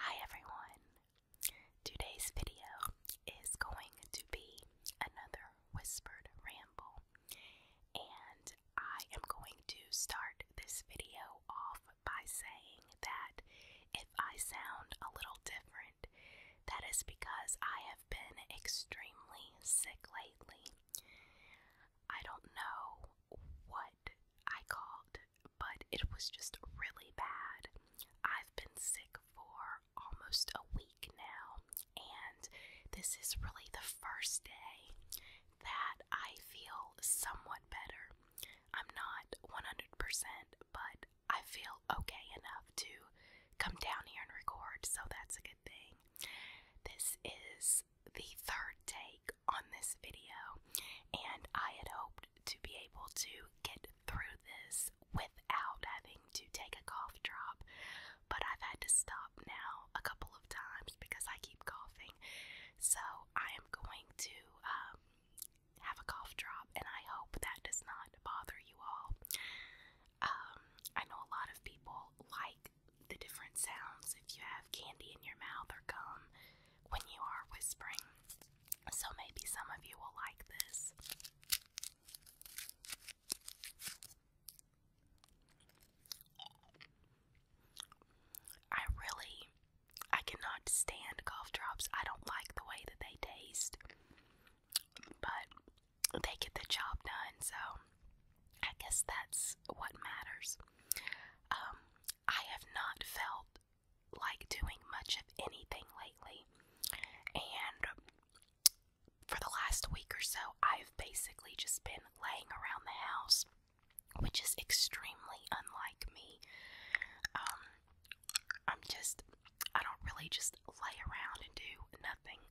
Hi everyone! Today's video is going to be another whispered ramble, and I am going to start this video off by saying that if I sound a little different, that is because I have been extremely sick lately. I don't know what I called, but it was just really bad. I've been sick for almost a week now, and this is really the first day that I feel somewhat better. I'm not 100%, but I feel okay enough to come down here and record, so that's a good thing. This is the third take on this video, and I had hoped to be able to get through this without having to take a cough drop, but I've had to stop now a couple of times because I keep coughing. So I am going to um, have a cough drop, and I hope that does not bother you all. Um, I know a lot of people like the different sounds if you have candy in your mouth or gum when you are whispering. So maybe some of you will like this. I really I cannot stand golf drops. I don't like the way that they taste. But they get the job done, so I guess that's what matters. Um, I have not felt like doing much of anything lately, and for the last week or so, I've basically just been laying around the house, which is extremely unlike me. Um, I'm just, I don't really just lay around and do nothing.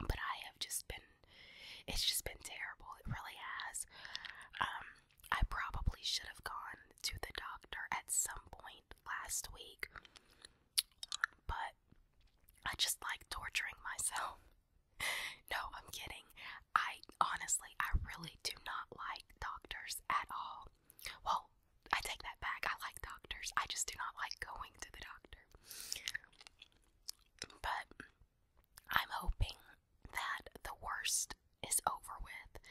But I have just been, it's just been terrible. It really has. Um, I probably should have gone to the doctor at some point last week, but I just like torturing myself. no, I'm kidding. I honestly, I really do not like doctors at all. Well, I take that back. I like doctors. I just do not like going to the doctor. But I'm hoping that the worst is over with.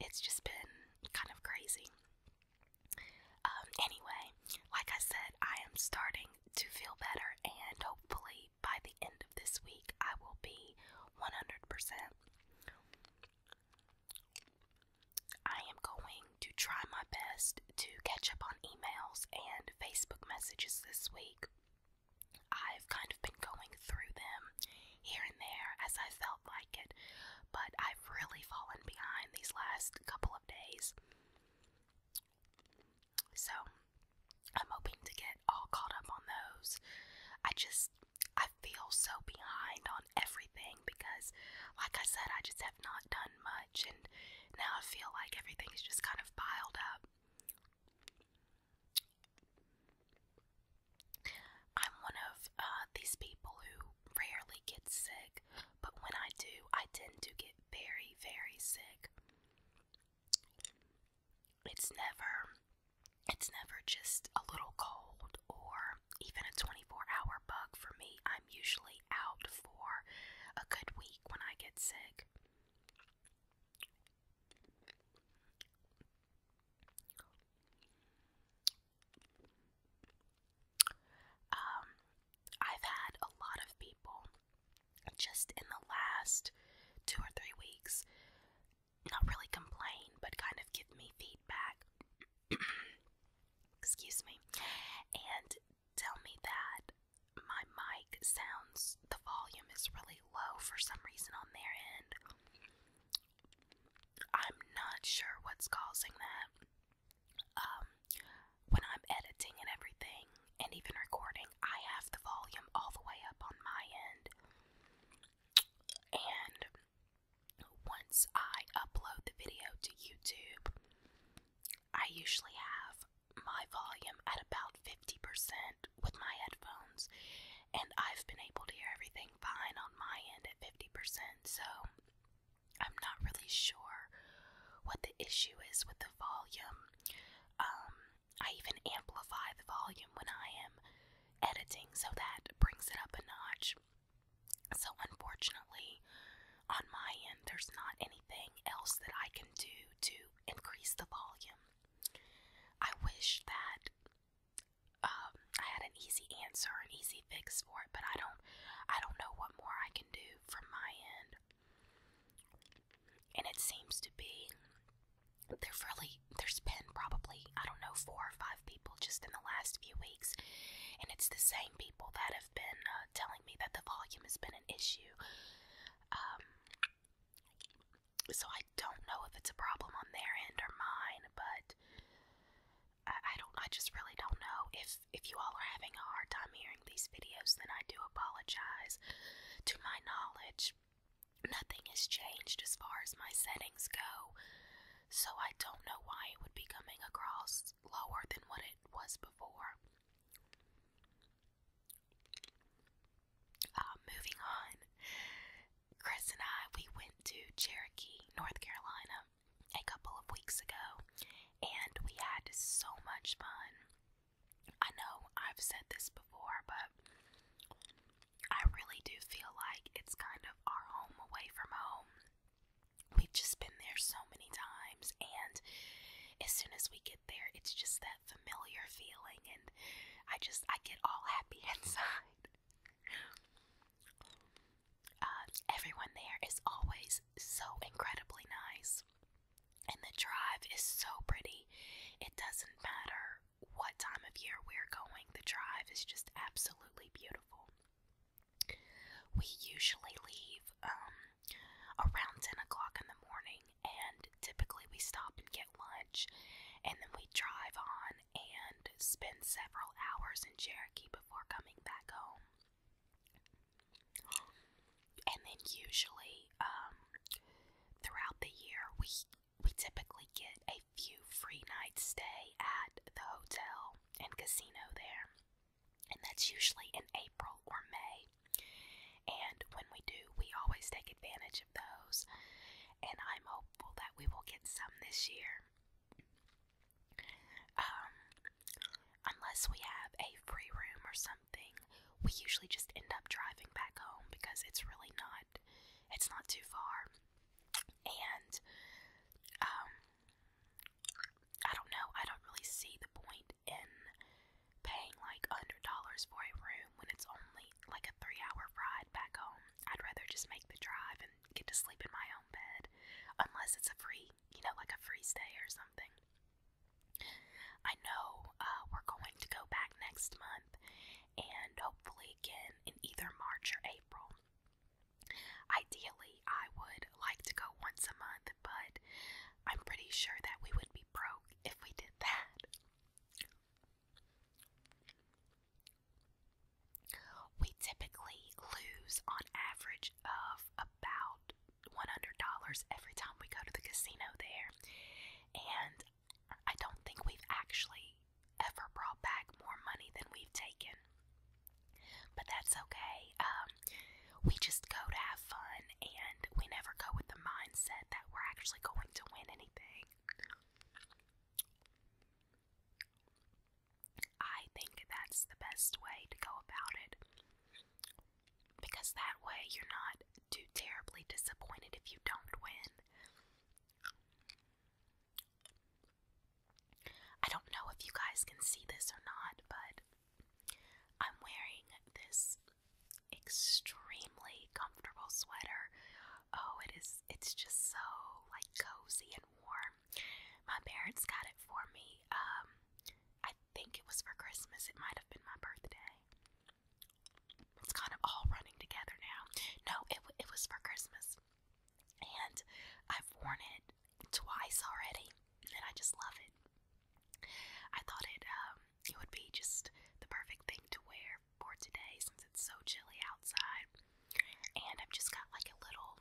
It's just been kind of crazy. Um, anyway, like I said, I am starting to feel better, and hopefully by the end of this week, I will be 100%. I am going to try my best to catch up on emails and Facebook messages this week. I've kind of been going through them here and there as I felt like it, but I've really fallen behind these last couple of days. So, I'm hoping to get all caught up on those. I just, I feel so behind on everything because, like I said, I just have not done much, and now I feel like everything's just kind of piled up. I'm one of uh, these people who rarely get sick, but when I do, I tend to get very, very sick. It's never. It's never just a little cold or even a 24 hour bug for me. I'm usually out for a good week when I get sick. Um, I've had a lot of people just in the last two or three weeks not really complain, but kind of give me feedback. Excuse me. And tell me that my mic sounds, the volume is really low for some reason on their end. I'm not sure what's causing that. Um, when I'm editing and everything, and even recording, I have the volume all the way up on my end. And once I upload the video to YouTube, I usually have my volume at about 50% with my headphones, and I've been able to hear everything fine on my end at 50%, so I'm not really sure what the issue is with the volume. Um, I even amplify the volume when I am editing, so that brings it up a notch. So, unfortunately, on my end, there's not anything else that I can do to increase the volume. I wish that um, I had an easy answer, an easy fix for it, but I don't, I don't know what more I can do from my end. And it seems to be there really there's been probably I don't know four or five people just in the last few weeks, and it's the same people that have been uh, telling me that the volume has been an issue. Um, so I don't know if it's a problem on their end or mine, but I, I don't. I just really don't know if if you all are having a hard time hearing these videos. Then I do apologize. To my knowledge, nothing has changed as far as my settings go so I don't know why it would be coming across lower than what it was before. Uh, moving on, Chris and I, we went to Cherokee, North Carolina a couple of weeks ago, and we had so much fun. I know I've said this before, but I really do feel like it's kind of our home away from home. We've just been there so many times, and as soon as we get there, it's just that familiar feeling, and I just I get all happy inside. Uh, everyone there is always so incredibly nice, and the drive is so pretty. It doesn't matter matter what time of year we're going, the drive is just absolutely beautiful. We usually leave um, around 10 o'clock in the morning, and typically we stop and get lunch, and then we drive on and spend several hours in Cherokee before coming back home. And then usually, um, throughout the year, we we typically get a few free nights stay at the hotel and casino there. And that's usually in April or May. And when we do, we always take advantage of those. And I'm hopeful that we will get some this year. Um, unless we have a free room or something, we usually just end up driving back home because it's really not, it's not too far and um, I don't know. I don't really see the point in paying like $100 for a room when it's only like a three-hour ride back home. I'd rather just make the drive and get to sleep in my own bed, unless it's a free, you know, like a free stay or something. I know uh, we're going to go back next month and hopefully again in either March or April. Ideally, I would like to go once a month, but I'm pretty sure that we would be broke if we did that. We typically lose on average of about $100 every time we go to the casino there, and I don't think we've actually ever brought back more money than we've taken. But that's okay. Um, we just go to have fun and we never go with the mindset that we're actually going to win anything. I think that's the best way to go about it. Because that way you're not too terribly disappointed if you don't win. I don't know if you guys can see this or not, but I'm wearing this extremely comfortable sweater. Oh, it is it's just so like cozy and warm. My parents got it for me. Um, I think it was for Christmas. It might have been my birthday it's kind of all running together now. No, it, it was for Christmas. And I've worn it twice already, and I just love it. I thought it um, it would be just the perfect thing to wear for today since it's so chilly outside. And I've just got like a little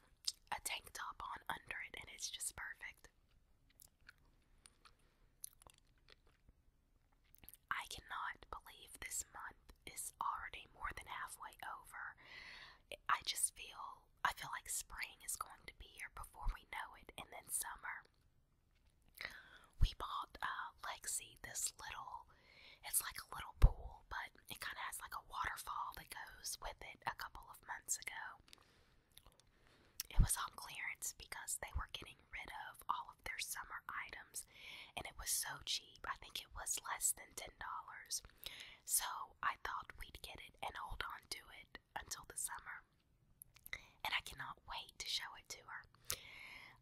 a tank top on under it, and it's just perfect. I cannot believe this month is already more than halfway over. I just feel I feel like spring is going to be here before we know it, and then summer. We bought uh, Lexi this little. It's like a little pool, but it kind of has like a waterfall that goes with it. A couple of months ago, it was on clearance because they were getting rid of all of their summer items and it was so cheap. I think it was less than $10. So I thought we'd get it and hold on to it until the summer. And I cannot wait to show it to her.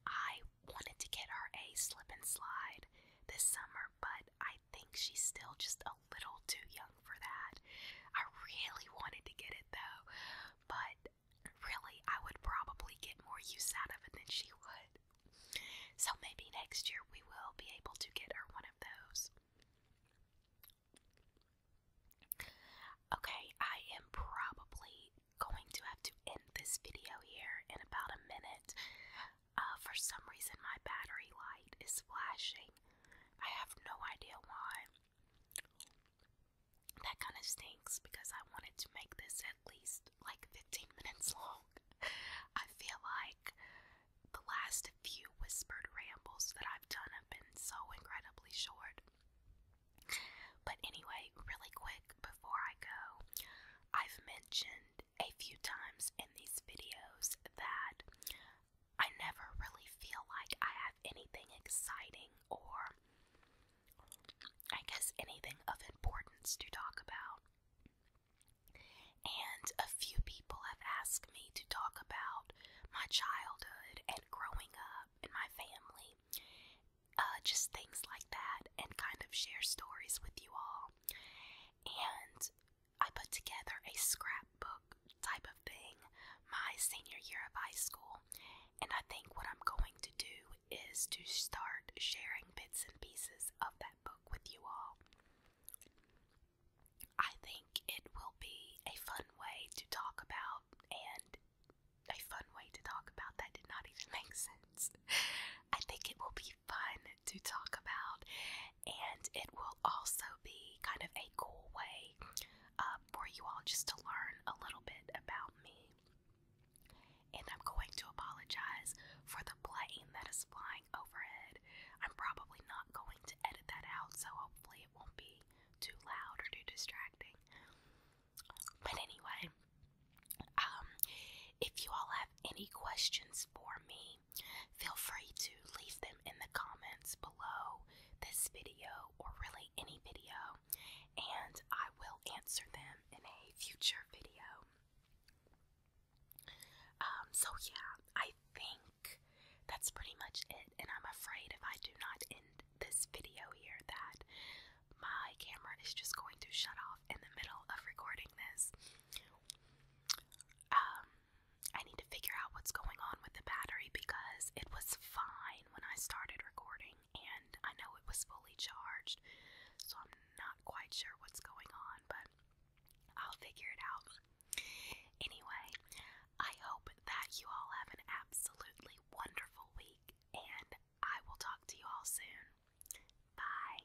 I wanted to get her a slip and slide this summer, but I think she's still just a little too young for that. I really wanted to get it though, but really, I would probably get more use out of it than she would. So maybe next year we will be able to get her one of those. Okay, I am probably going to have to end this video here in about a minute. Uh, for some reason, my battery light is flashing. I have no idea why. That kind of stinks because I wanted to make this at least like 15 minutes long. I feel like the last few whispered rambles that I've done have been so incredibly short. But anyway, really quick before I go, I've mentioned a few times in these videos that I never really feel like I have anything exciting or, I guess, anything of importance to talk about. And a few people have asked me to talk about my childhood and growing up and my family, uh, just things like that, and kind of share stories with you all. And I put together a scrapbook type of thing my senior year of high school. And I think what I'm going to do is to start sharing bits and pieces of that book with you all. I think it will be a fun way to talk about, and a fun way to talk about that did not even make sense. I think it will be fun to talk about, and it will also be kind of a cool way um, for you all just to learn a little bit about me. And I'm going to apologize for the plane that is flying overhead. I'm probably not going to edit that out, so hopefully, it won't be too loud or too distracting. But anyway, um, if you all have any questions for me, Feel free to leave them in the comments below this video or really any video, and I will answer them in a future video. Um, so, yeah, I think that's pretty much it, and I'm afraid if I do not end this video here, that my camera is just going to shut off in the middle of recording this. Um, I need to figure out what's going on with the battery because it was fine when I started recording and I know it was fully charged. So I'm not quite sure what's going on, but I'll figure it out. Anyway, I hope that you all have an absolutely wonderful week and I will talk to you all soon. Bye.